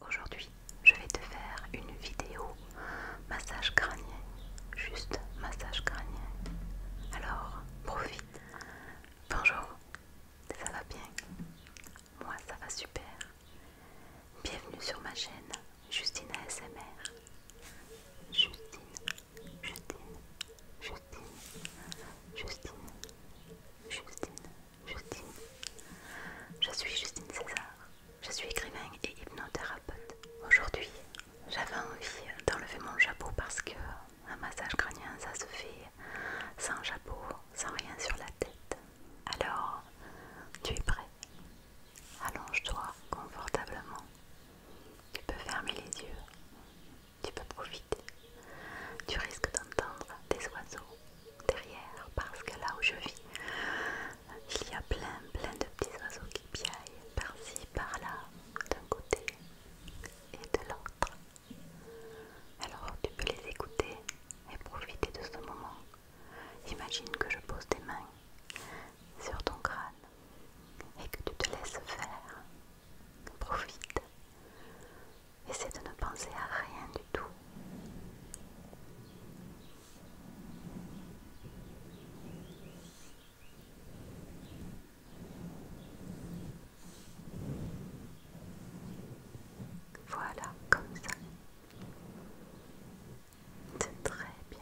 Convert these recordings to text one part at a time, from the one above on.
Aujourd'hui, je vais te faire une vidéo massage crânien, juste massage crânien. Alors, profite. Bonjour, ça va bien Moi, ça va super. Bienvenue sur ma chaîne Justine ASMR. Justine, Justine, Justine, Justine, Justine, Justine. Je suis Justine César. Je suis écrivain et hypnothérapeute. Aujourd'hui, j'avais envie d'enlever mon chapeau parce que un massage crânien, ça se fait sans chapeau, sans rien sur la tête. Alors, tu es prêt Allonge-toi confortablement. Tu peux fermer les yeux. Tu peux profiter. Tu risques d'entendre des oiseaux derrière parce que là où je vis, il y a plein plein de petits oiseaux qui piaillent par-ci, par-là, d'un côté et de l'autre. Alors tu peux les écouter et profiter de ce moment. Imagine que je pose tes mains sur ton crâne et que tu te laisses faire. Profite. Essaie de ne penser à rien du tout. Voilà, comme ça. C'est très bien.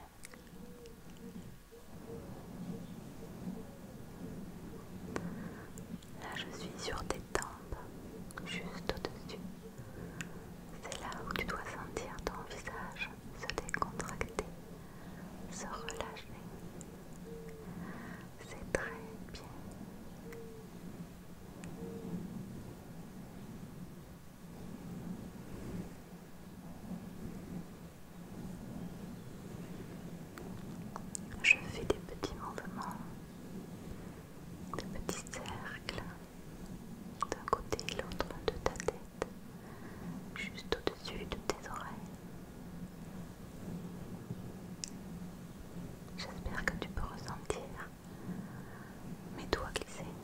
Là, je suis sur des tempes, juste au-dessus. C'est là où tu dois sentir ton visage se décontracter, se relâcher. C'est très bien. Je fais des petits mouvements de petits cercles d'un côté et l'autre de ta tête, juste au-dessus de tes oreilles. J'espère que tu peux ressentir mes doigts glissés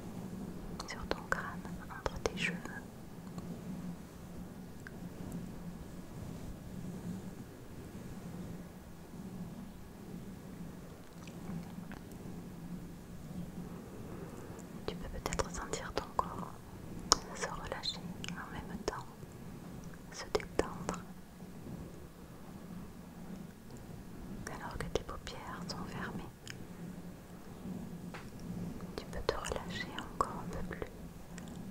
sur ton crâne entre tes cheveux. Tu peux peut-être sentir ton corps se relâcher en même temps, se détendre, alors que tes paupières sont fermées. Tu peux te relâcher encore un peu plus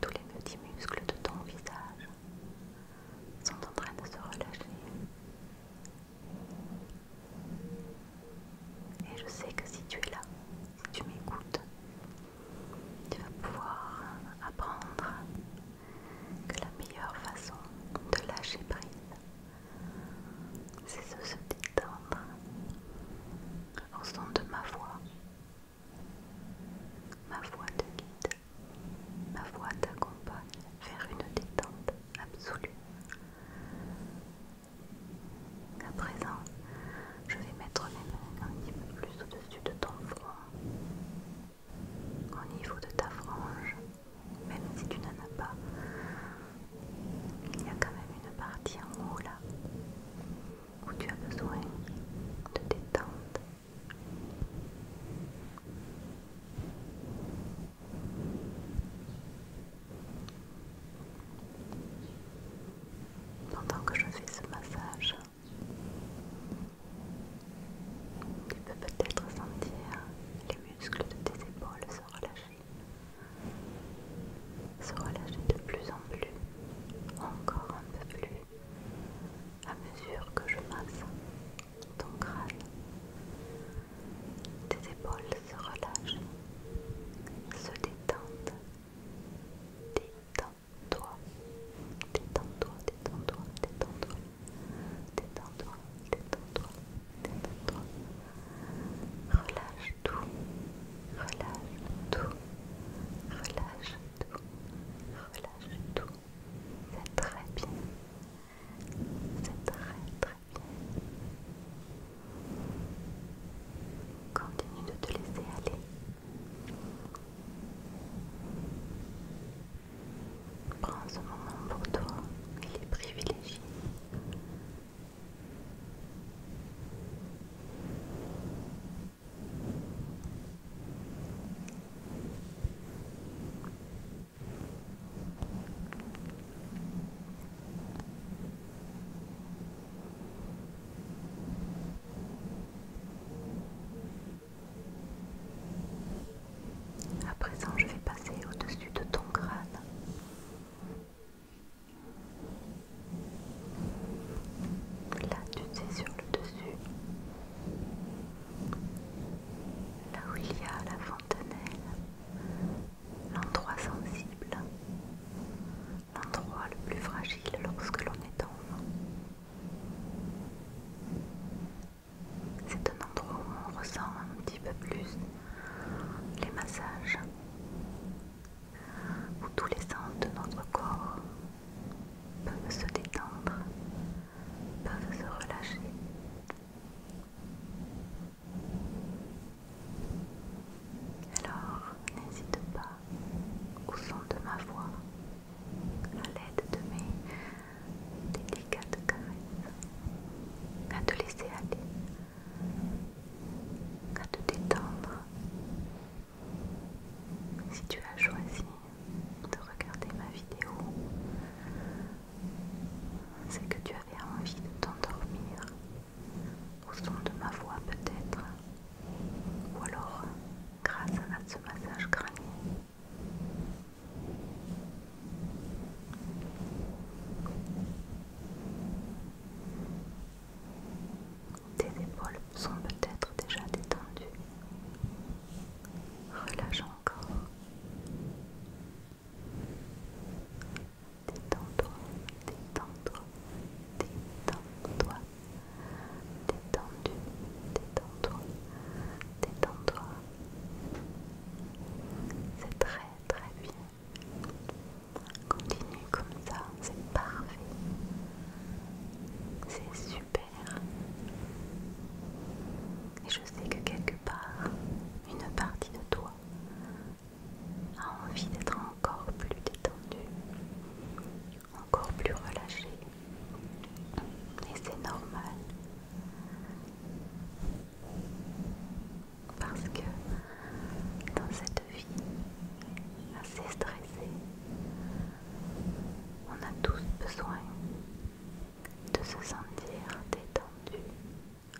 tous les petits muscles de ton visage sont en train de se relâcher. Et je sais que si tu es là, tu m'écoutes, tu vas pouvoir apprendre que la meilleure façon de lâcher prise, c'est de se détendre au son de ma voix. Ma voix te guide. Ma voix t'accompagne vers une détente absolue. À présent, je vais mettre mes mains un petit peu plus au-dessus de ton front, au niveau de ta frange, même si tu n'en as pas. Il y a quand même une partie en haut là, où tu as besoin de détente pendant que je fais ce massage, tu peux peut-être sentir les muscles de tes épaules se relâcher, se relâcher de plus en plus, encore un peu plus, à mesure que je masse ton crâne. Tes épaules se relâchent, se détendent. Détends-toi, détends-toi, détends-toi, détends-toi, détends-toi, détends-toi, détends-toi. Relâche tout, relâche tout, relâche tout, relâche tout. C'est très bien, c'est très très bien. Continue de te laisser aller. Prends ce moment pour toi, il est privilégié. À présent, je vais passer au-dessus de ton crâne. Là, tu sais, sur le dessus là où il y a la fontenelle, l'endroit sensible, l'endroit le plus fragile lorsque l'on est enfant. C'est un endroit où on ressent un petit peu plus les massages, où tous les sens de notre corps peuvent se détendre peuvent se relâcher. Alors, n'hésite pas, au son de ma voix, à l'aide de mes délicates caresses, à te laisser aller, à te détendre. Si tu as choisi de regarder ma vidéo, c'est que tu avais envie de t'endormir au son de ma voix peut-être, ou alors grâce à ce massage crânien. Tes épaules sont peut-être déjà détendues, relâchant Détends-toi, Détends-toi, détends-toi, détends-toi. Détendu, détends-toi, détends-toi. C'est très très bien. Continue comme ça, c'est parfait. C'est super. Et je sais que quelque part, une partie de toi a envie d'être encore plus détendue, encore plus relâchée. Et c'est normal. Parce que dans cette vie assez stressée, on a tous besoin de se sentir détendu,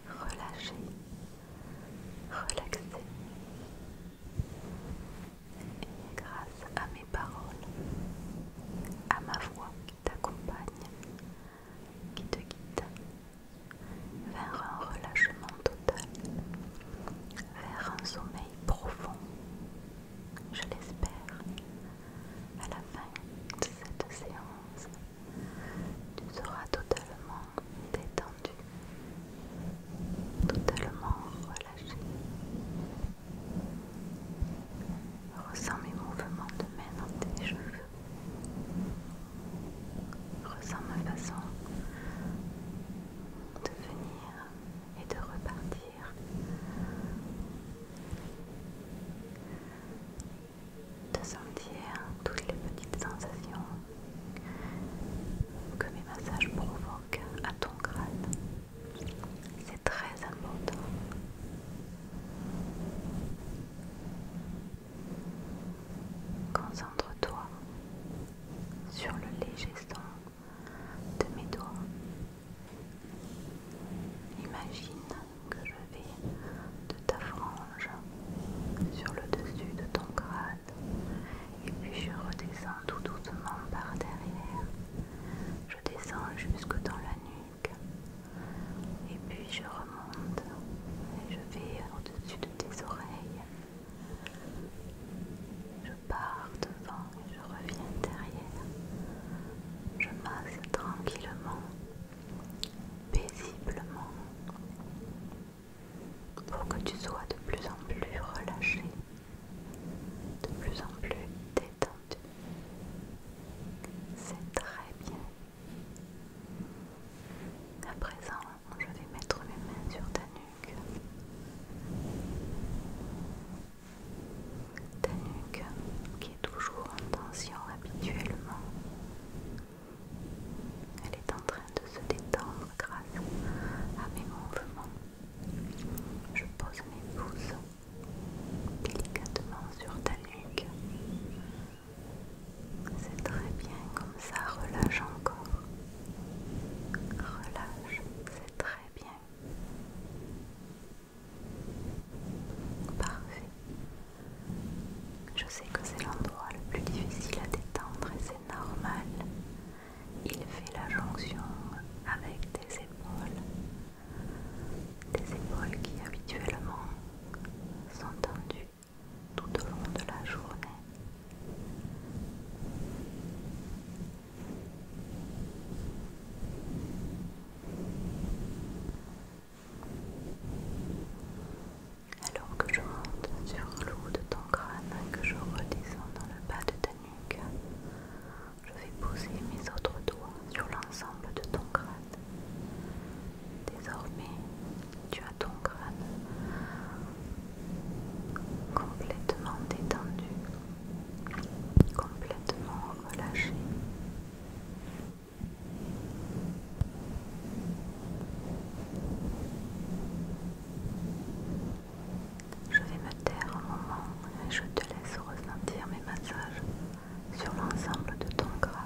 relâché, relaxé. Et grâce à mes paroles, à ma voix qui t'accompagne, qui te guide vers un relâchement total, vers un sommeil profond je l'espère, à la fin de cette séance, tu seras totalement détendu, totalement relâché. Ressens mes mouvements de main dans tes cheveux. Ressens ma façon de venir et de repartir de sentir toutes les petites sensations que mes massages provoquent à ton grade. C'est très important. Concentre-toi sur le léger son de mes doigts Imagine que je vais de ta frange sur le dessus de ton crâne et puis je redescends tout doucement par derrière. Je descends jusque dans la nuque et puis je remonte et je vais au-dessus de tes oreilles. Je pars devant je reviens derrière. Je masse tranquillement, paisiblement, pour que tu sois de plus en plus relâché, de plus en plus détendu. C'est très bien. À présent, je vais mettre mes mains sur ta nuque. Ta nuque qui est toujours en tension habituellement. Elle est en train de se détendre grâce à mes mouvements. Je pose mes pouces délicatement sur ta nuque. C'est très bien comme ça, relâche encore. Relâche, c'est très bien. Parfait. Je sais que c'est l'endroit le plus difficile à détendre et c'est normal. Il fait la jonction avec des épaules. Des épaules qui habituellement sont tendues tout au long de la journée. Alors que je monte sur le haut de ton crâne que je redescends dans le bas de ta nuque, je vais poser mes autres doigts sur l'ensemble de ton crâne. Désormais, tu as ton crâne complètement détendu complètement relâché. Je vais me taire un moment et je te laisse ressentir mes massages sur l'ensemble de ton crâne.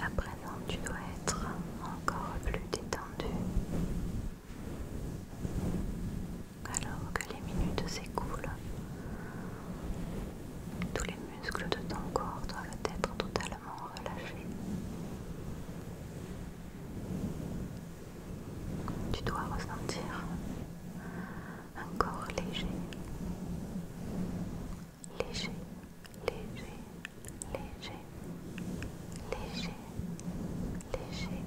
Après non, tu dois être encore plus détendu alors que les minutes s'écoulent. Tous les muscles de ton corps doivent être totalement relâchés. Tu dois ressentir un corps léger, léger, léger, léger, léger, léger,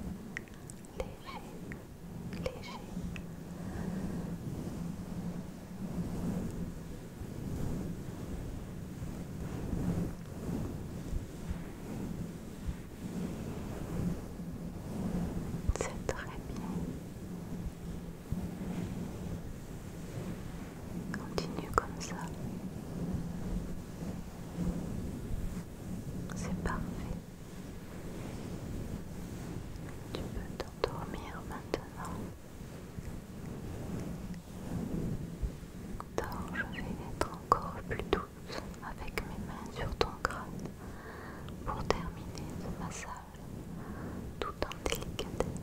léger, léger. C'est très bien. Continue comme ça. C'est parfait. Tu peux t'endormir maintenant. Dors, je vais être encore plus douce avec mes mains sur ton crâne pour terminer ce massage tout en délicatesse.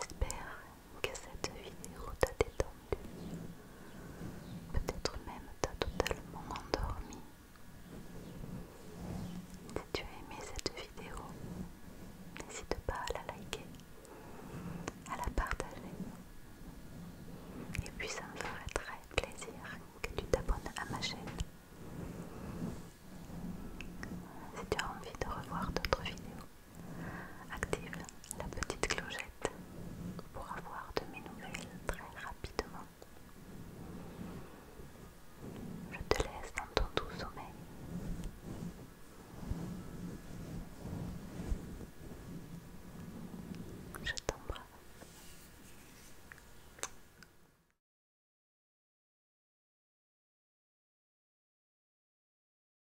J'espère que cette vidéo t'a détendu, peut-être même t'a totalement endormi. Si tu as aimé cette vidéo, n'hésite pas à la liker, à la partager. Et puis ça me ferait très plaisir que tu t'abonnes à ma chaîne. Si tu as envie de revoir d'autres vidéos, Active la petite clochette pour avoir de mes nouvelles très rapidement. Je te laisse dans ton doux sommeil. Je t'embrasse.